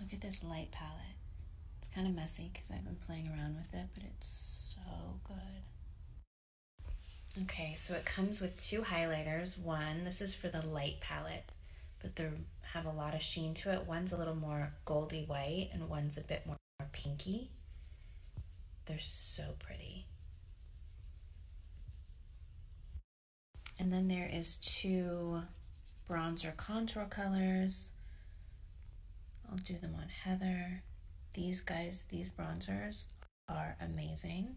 Look at this light palette. It's kind of messy because I've been playing around with it, but it's so good. Okay, so it comes with two highlighters. One, this is for the light palette, but they have a lot of sheen to it. One's a little more goldy white and one's a bit more pinky. They're so pretty. And then there is two bronzer contour colors. I'll do them on Heather. These guys, these bronzers are amazing.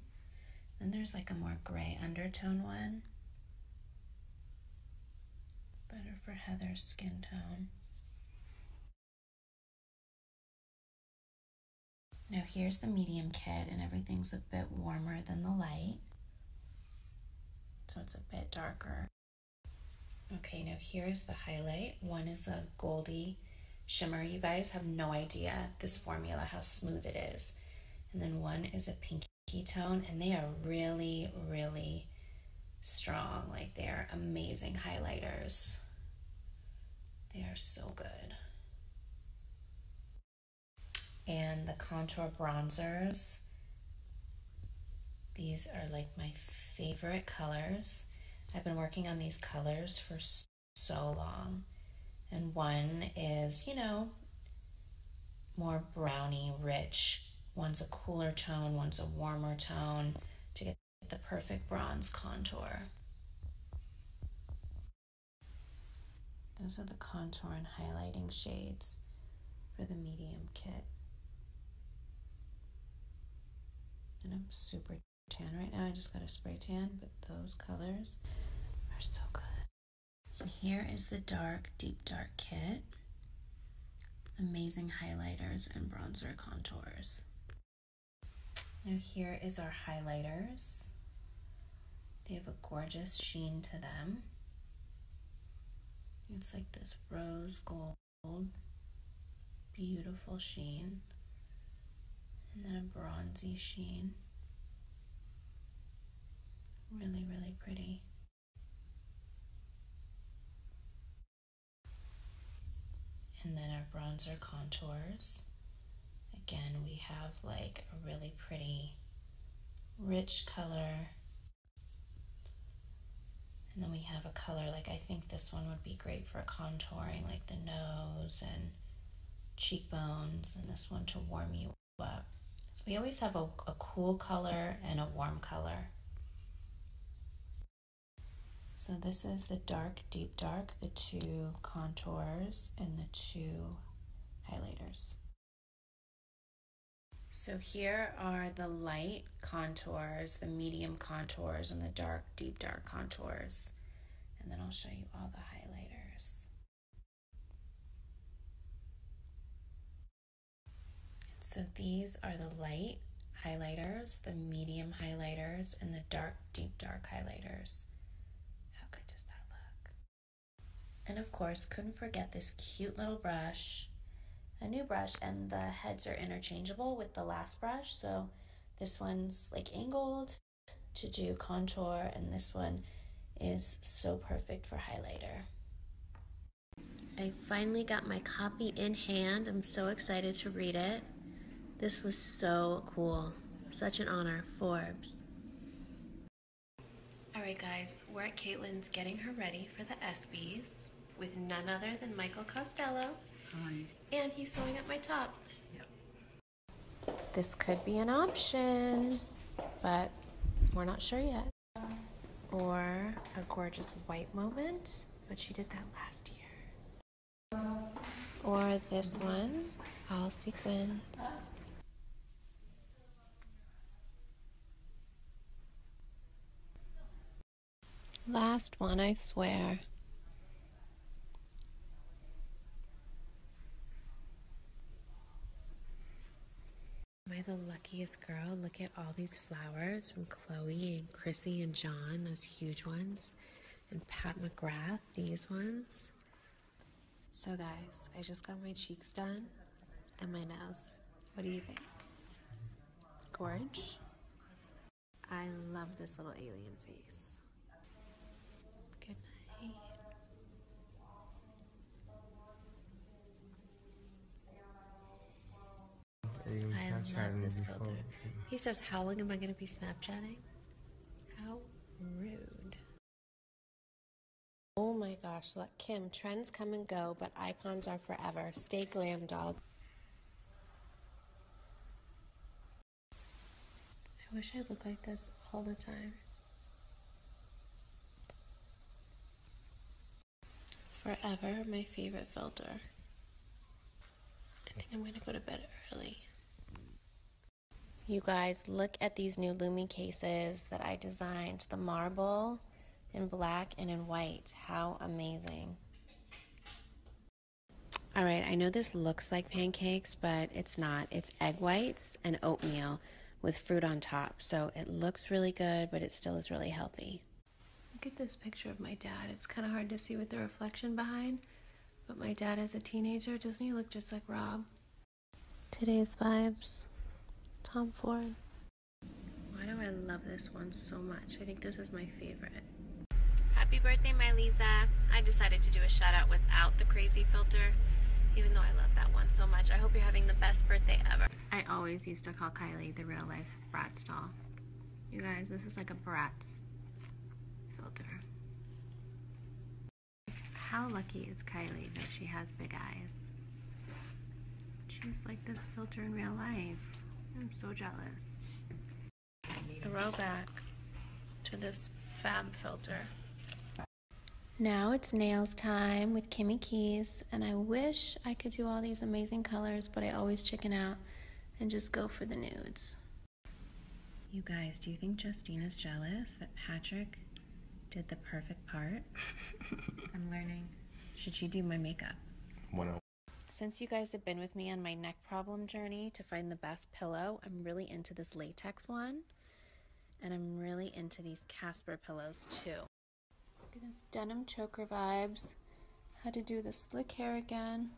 Then there's like a more gray undertone one. Better for Heather's skin tone. Now here's the medium kit and everything's a bit warmer than the light. So it's a bit darker. Okay, now here's the highlight. One is a goldy shimmer. You guys have no idea this formula, how smooth it is. And then one is a pinky tone, and they are really, really strong. Like they're amazing highlighters. They are so good and the contour bronzers. These are like my favorite colors. I've been working on these colors for so long. And one is, you know, more brownie rich. One's a cooler tone, one's a warmer tone to get the perfect bronze contour. Those are the contour and highlighting shades for the medium kit. And I'm super tan right now. I just got a spray tan, but those colors are so good. And here is the dark, deep dark kit. Amazing highlighters and bronzer contours. Now here is our highlighters. They have a gorgeous sheen to them. It's like this rose gold, beautiful sheen, and then a bronzy sheen. Really, really pretty. And then our bronzer contours. Again, we have like a really pretty rich color and then we have a color, like I think this one would be great for contouring, like the nose and cheekbones, and this one to warm you up. So we always have a, cool color and a warm color. So this is the dark, deep dark, the two contours, and the two highlighters. So here are the light contours, the medium contours, and the dark, deep dark contours. And then I'll show you all the highlighters. So these are the light highlighters, the medium highlighters, and the dark, deep dark highlighters. How good does that look? And of course, couldn't forget this cute little brush, a new brush, and the heads are interchangeable with the last brush. So this one's like angled to do contour, and this one is so perfect for highlighter. I finally got my copy in hand. I'm so excited to read it. This was so cool. Such an honor, Forbes. Alright guys, we're at Caitlyn's, getting her ready for the ESPYs with none other than Michael Costello. Hi. And he's sewing up my top. Yep. This could be an option, but we're not sure yet. Or a gorgeous white moment, but she did that last year. Or this one, all sequins. Last one, I swear. Am I the luckiest girl? Look at all these flowers from Chloe and Chrissy and John, those huge ones, and Pat McGrath, these ones. So guys, I just got my cheeks done and my nails. What do you think? Gorge? I love this little alien face. Good night. I love this filter. He says, how long am I going to be Snapchatting? How rude. Oh my gosh, look, Kim, trends come and go, but icons are forever. Stay glam, doll. I wish I looked like this all the time. Forever, my favorite filter. I think I'm gonna go to bed early. You guys, look at these new Lumi cases that I designed the marble in black and in white. How amazing. All right, I know this looks like pancakes, but it's not. It's egg whites and oatmeal with fruit on top. So it looks really good, but it still is really healthy. Look at this picture of my dad. It's kind of hard to see with the reflection behind, but my dad as a teenager, doesn't he look just like Rob? Today's Vibes, Tom Ford. Why do I love this one so much? I think this is my favorite. Happy birthday, my Lisa. I decided to do a shout out without the crazy filter, even though I love that one so much. I hope you're having the best birthday ever. I always used to call Kylie the real life Bratz doll. You guys, this is like a Bratz filter. How lucky is Kylie that she has big eyes? She's like this filter in real life. I'm so jealous. Throwback to this fab filter. Now it's nails time with Kimmy Keys, and I wish I could do all these amazing colors, but I always chicken out and just go for the nudes. You guys, do you think Justine is jealous that Patrick did the perfect part. I'm learning. Should she do my makeup? 101. Since you guys have been with me on my neck problem journey to find the best pillow, I'm really into this latex one. And I'm really into these Casper pillows too. Look at this denim choker vibes. Had to do the slick hair again.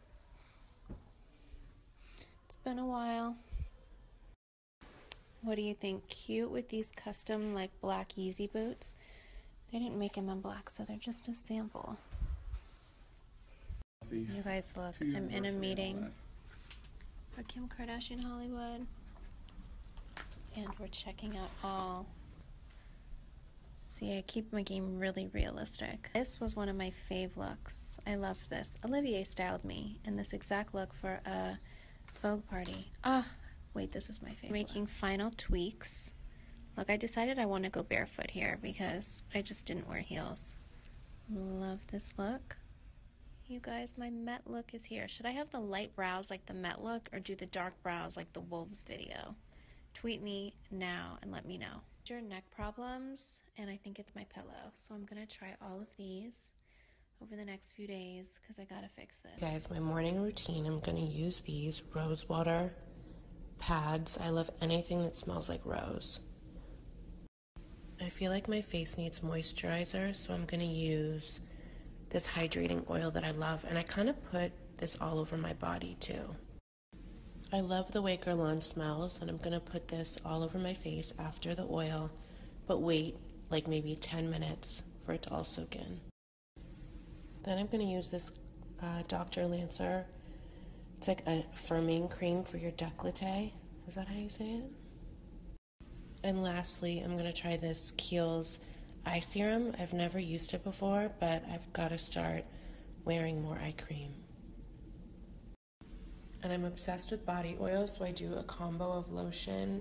It's been a while. What do you think? Cute with these custom like black easy boots. They didn't make them in black, so they're just a sample. You guys look, I'm in a meeting for Kim Kardashian Hollywood. And we're checking out all. See, I keep my game really realistic. This was one of my fave looks. I love this. Olivier styled me in this exact look for a Vogue party. Ah, wait, this is my favorite. Making final tweaks. Look, I decided I want to go barefoot here because I just didn't wear heels. Love this look. You guys, my Met look is here. Should I have the light brows like the Met look or do the dark brows like the Wolves video? Tweet me now and let me know. Your neck problems, and I think it's my pillow. So I'm gonna try all of these over the next few days because I gotta fix this. Guys, my morning routine I'm gonna use these rosewater pads. I love anything that smells like rose. I feel like my face needs moisturizer, so I'm gonna use this hydrating oil that I love, and I kind of put this all over my body too. I love the way Guerlain smells, and I'm gonna put this all over my face after the oil, but wait like maybe 10 minutes for it to all soak in. Then I'm going to use this uh, Dr. Lancer. It's like uh, a firming cream for your décolleté. Is that how you say it? And lastly, I'm going to try this Kiehl's eye serum. I've never used it before, but I've got to start wearing more eye cream. And I'm obsessed with body oil, so I do a combo of lotion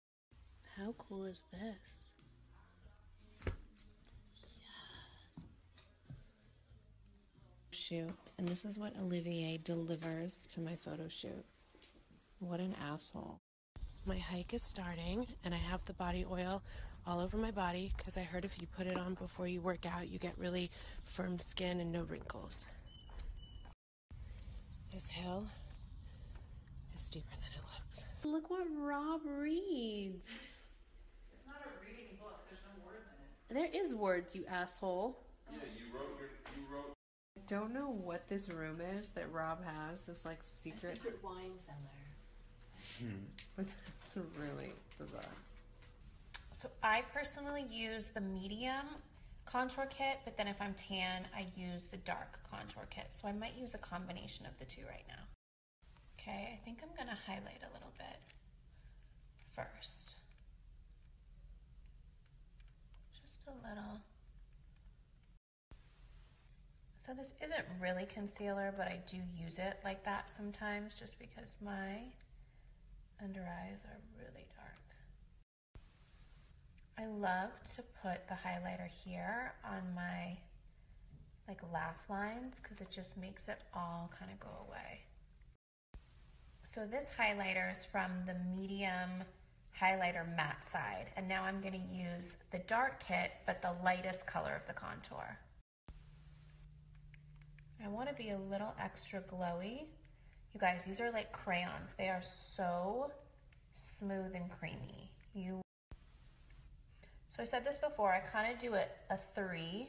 How cool is this? Shoot. And this is what Olivier delivers to my photo shoot. What an asshole. My hike is starting, and I have the body oil all over my body because I heard if you put it on before you work out, you get really firm skin and no wrinkles. This hill is steeper than it looks. Look what Rob reads. There's words you asshole. Yeah, you wrote you wrote I don't know what this room is that Rob has, this like secret, wine cellar. Hmm. That's really bizarre. So I personally use the medium contour kit, but then if I'm tan, I use the dark contour kit. So I might use a combination of the two right now. Okay, I think I'm gonna highlight a little bit first. Just a little. So this isn't really concealer, but I do use it like that sometimes just because my under eyes are really dark. I love to put the highlighter here on my like laugh lines because it just makes it all kind of go away. So this highlighter is from the medium highlighter matte side and now I'm going to use the dark kit but the lightest color of the contour. I want to be a little extra glowy. You guys, these are like crayons. They are so smooth and creamy. You. So I said this before, I kind of do a, a three.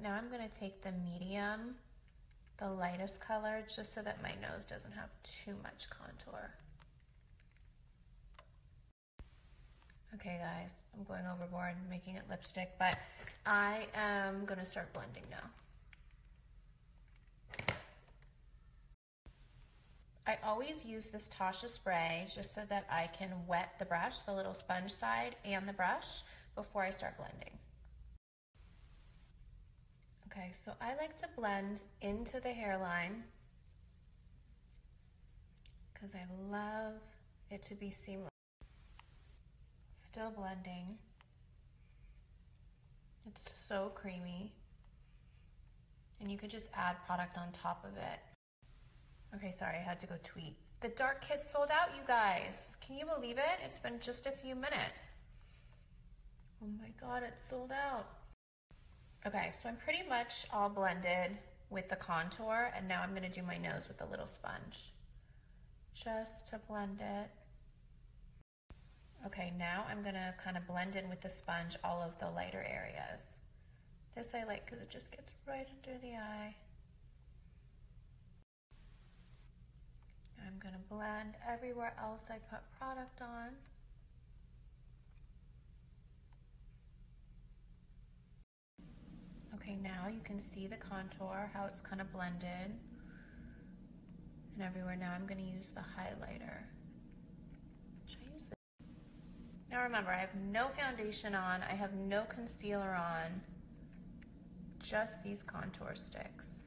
now I'm gonna take the medium, the lightest color, just so that my nose doesn't have too much contour. Okay guys, I'm going overboard making it lipstick, but I am gonna start blending now. I always use this Tasha spray just so that I can wet the brush, the little sponge side and the brush before I start blending. Okay, so I like to blend into the hairline because I love it to be seamless. Still blending. It's so creamy. And you could just add product on top of it. Okay, sorry, I had to go tweet. The dark kit sold out, you guys. Can you believe it? It's been just a few minutes. Oh my God, it's sold out. Okay, so I'm pretty much all blended with the contour and now I'm gonna do my nose with a little sponge just to blend it. Okay, now I'm gonna kind of blend in with the sponge all of the lighter areas. This I like because it just gets right under the eye. I'm gonna blend everywhere else I put product on. Okay, now you can see the contour, how it's kind of blended. And everywhere now I'm going to use the highlighter. Now remember, I have no foundation on. I have no concealer on. Just these contour sticks.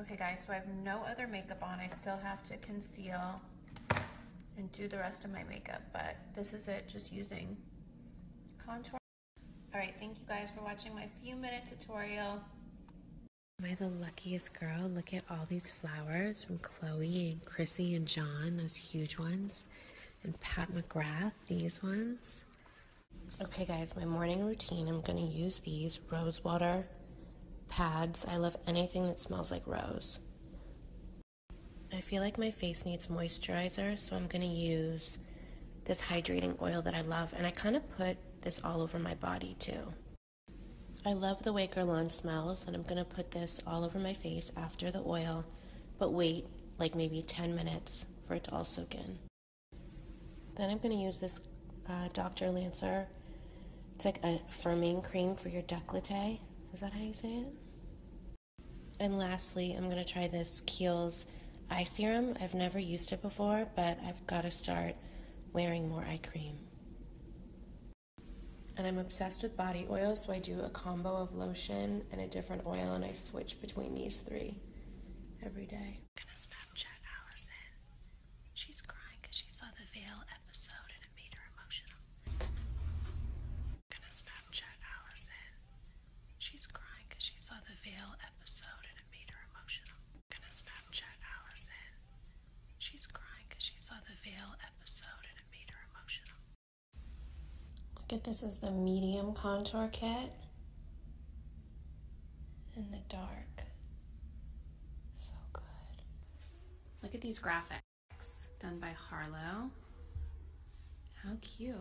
Okay guys, so I have no other makeup on. I still have to conceal and do the rest of my makeup, but this is it, just using contour. All right, thank you guys for watching my few minute tutorial. Am I the luckiest girl? Look at all these flowers from Chloe and Chrissy and John, those huge ones. And Pat McGrath, these ones. Okay guys, my morning routine, I'm gonna use these rose water pads. I love anything that smells like rose. I feel like my face needs moisturizer, so I'm going to use this hydrating oil that I love, and I kind of put this all over my body too. I love the way Lawn smells, and I'm going to put this all over my face after the oil, but wait like maybe 10 minutes for it to all soak in. Then I'm going to use this uh, Dr. Lancer. It's like a firming cream for your décolleté. Is that how you say it? And lastly, I'm going to try this Kiehl's Eye Serum. I've never used it before, but I've got to start wearing more eye cream. And I'm obsessed with body oil, so I do a combo of lotion and a different oil, and I switch between these three every day. I'm gonna Snapchat Allison. She's crying because she saw the veil episode and it made her emotional gonna Snapchat Allison. She's crying because she saw the Veil episode and it made her emotional. gonna Snapchat Allison. She's crying she saw the Veil episode and it made her emotional. Look at this is the medium contour kit in the dark. So good. Look at these graphics done by Harlow. How cute.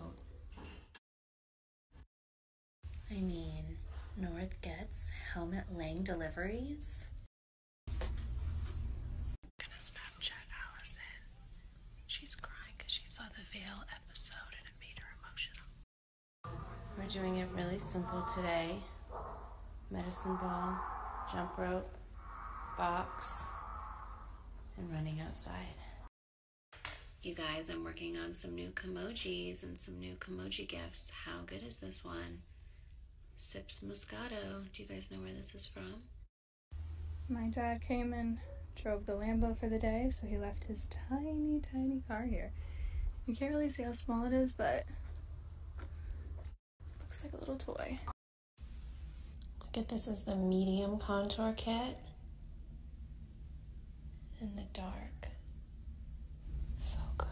I mean, North gets helmet Lang deliveries. gonna Snapchat Allison. She's crying because she saw the Veil episode and it made her emotional. We're doing it really simple today. Medicine ball, jump rope, box, and running outside. You guys, I'm working on some new Komojis and some new Komoji gifts. How good is this one? Sips Moscato. Do you guys know where this is from? My dad came and drove the Lambo for the day, so he left his tiny, tiny car here. You can't really see how small it is, but looks like a little toy. Look at this is the medium contour kit in the dark. So good.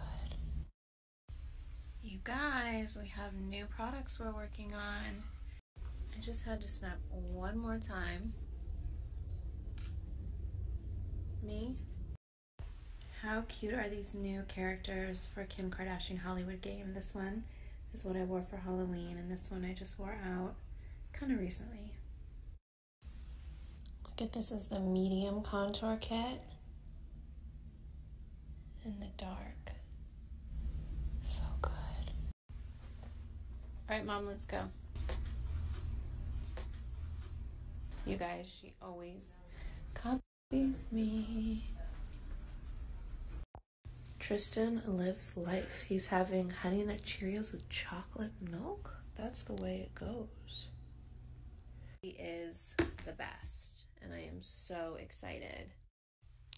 You guys, we have new products we're working on. I just had to snap one more time. Me. How cute are these new characters for Kim Kardashian Hollywood game? This one is what I wore for Halloween, and this one I just wore out kind of recently. Look at this is the medium contour kit in the dark. So good. All right, mom, let's go. You guys, she always copies me. Tristan lives life. He's having Honey Nut Cheerios with chocolate milk. That's the way it goes. He is the best, and I am so excited.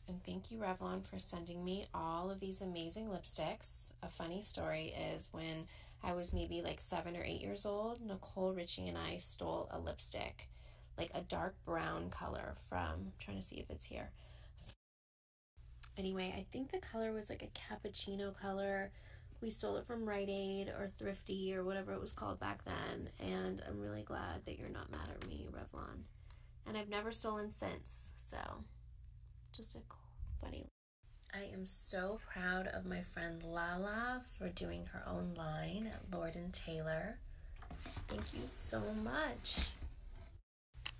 And thank you, Revlon, for sending me all of these amazing lipsticks. A funny story is when I was maybe like seven or eight years old, Nicole Richie and I stole a lipstick, like a dark brown color from, trying to see if it's here. Anyway, I think the color was like a cappuccino color. We stole it from Rite Aid or Thrifty or whatever it was called back then. And I'm really glad that you're not mad at me, Revlon. And I've never stolen since, so just a funny. I am so proud of my friend Lala for doing her own line at Lord and Taylor. Thank you so much.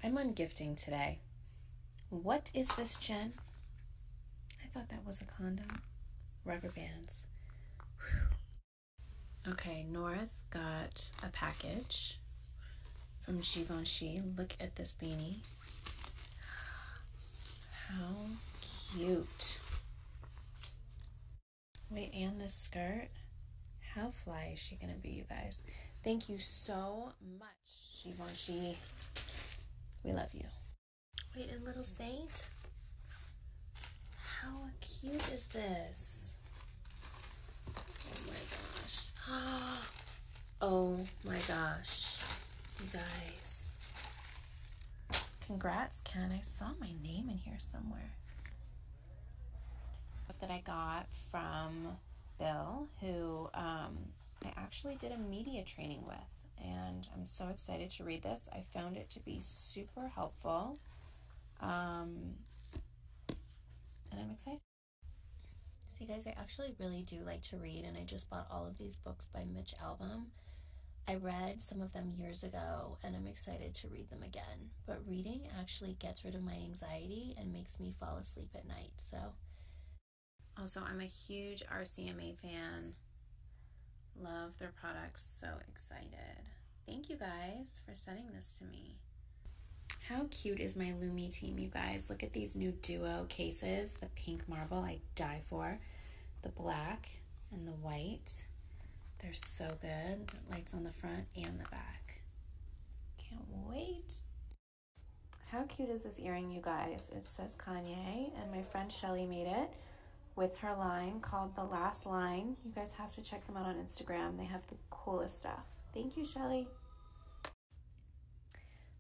I'm un-gifting today. What is this, Jen? I thought that was a condom. Rubber bands. Okay, North got a package from Givenchy. Look at this beanie. How cute. Wait, and the skirt? How fly is she gonna be, you guys? Thank you so much, Givenchy. We love you. Wait, and Little Saint? How cute is this? Oh my gosh. Oh my gosh. You guys. Congrats, Ken. I saw my name in here somewhere that I got from Bill, who um, I actually did a media training with. And I'm so excited to read this. I found it to be super helpful. Um, and I'm excited. See, guys, I actually really do like to read, and I just bought all of these books by Mitch Album. I read some of them years ago, and I'm excited to read them again. But reading actually gets rid of my anxiety and makes me fall asleep at night. So, also, I'm a huge RCMA fan. Love their products. So excited. Thank you guys for sending this to me. How cute is my Lumi team, you guys? Look at these new duo cases. The pink marble I die for, the black and the white. They're so good. lights on the front and the back. Can't wait. How cute is this earring, you guys? It says Kanye, and my friend Shelly made it with her line called The Last Line. You guys have to check them out on Instagram. They have the coolest stuff. Thank you, Shelly.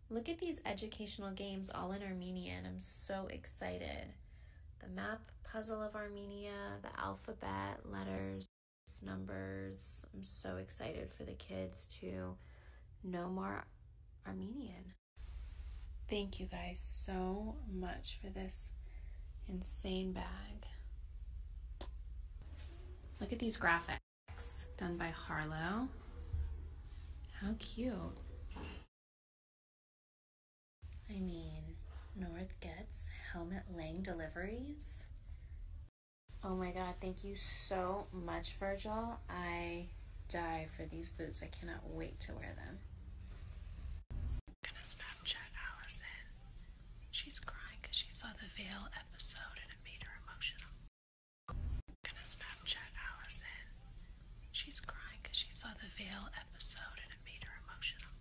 Look at these educational games all in Armenian. I'm so excited. The map puzzle of Armenia, the alphabet, letters, numbers. I'm so excited for the kids to know more Armenian. Thank you guys so much for this insane bag. Look at these graphics done by Harlow. How cute. I mean, North gets helmet Lang deliveries. Oh my god, thank you so much, Virgil. I die for these boots. I cannot wait to wear them. gonna Snapchat Allison. She's crying she saw the Veil episode and it made her emotional. gonna Snapchat Allison. She's crying she saw the Veil episode and it made her emotional.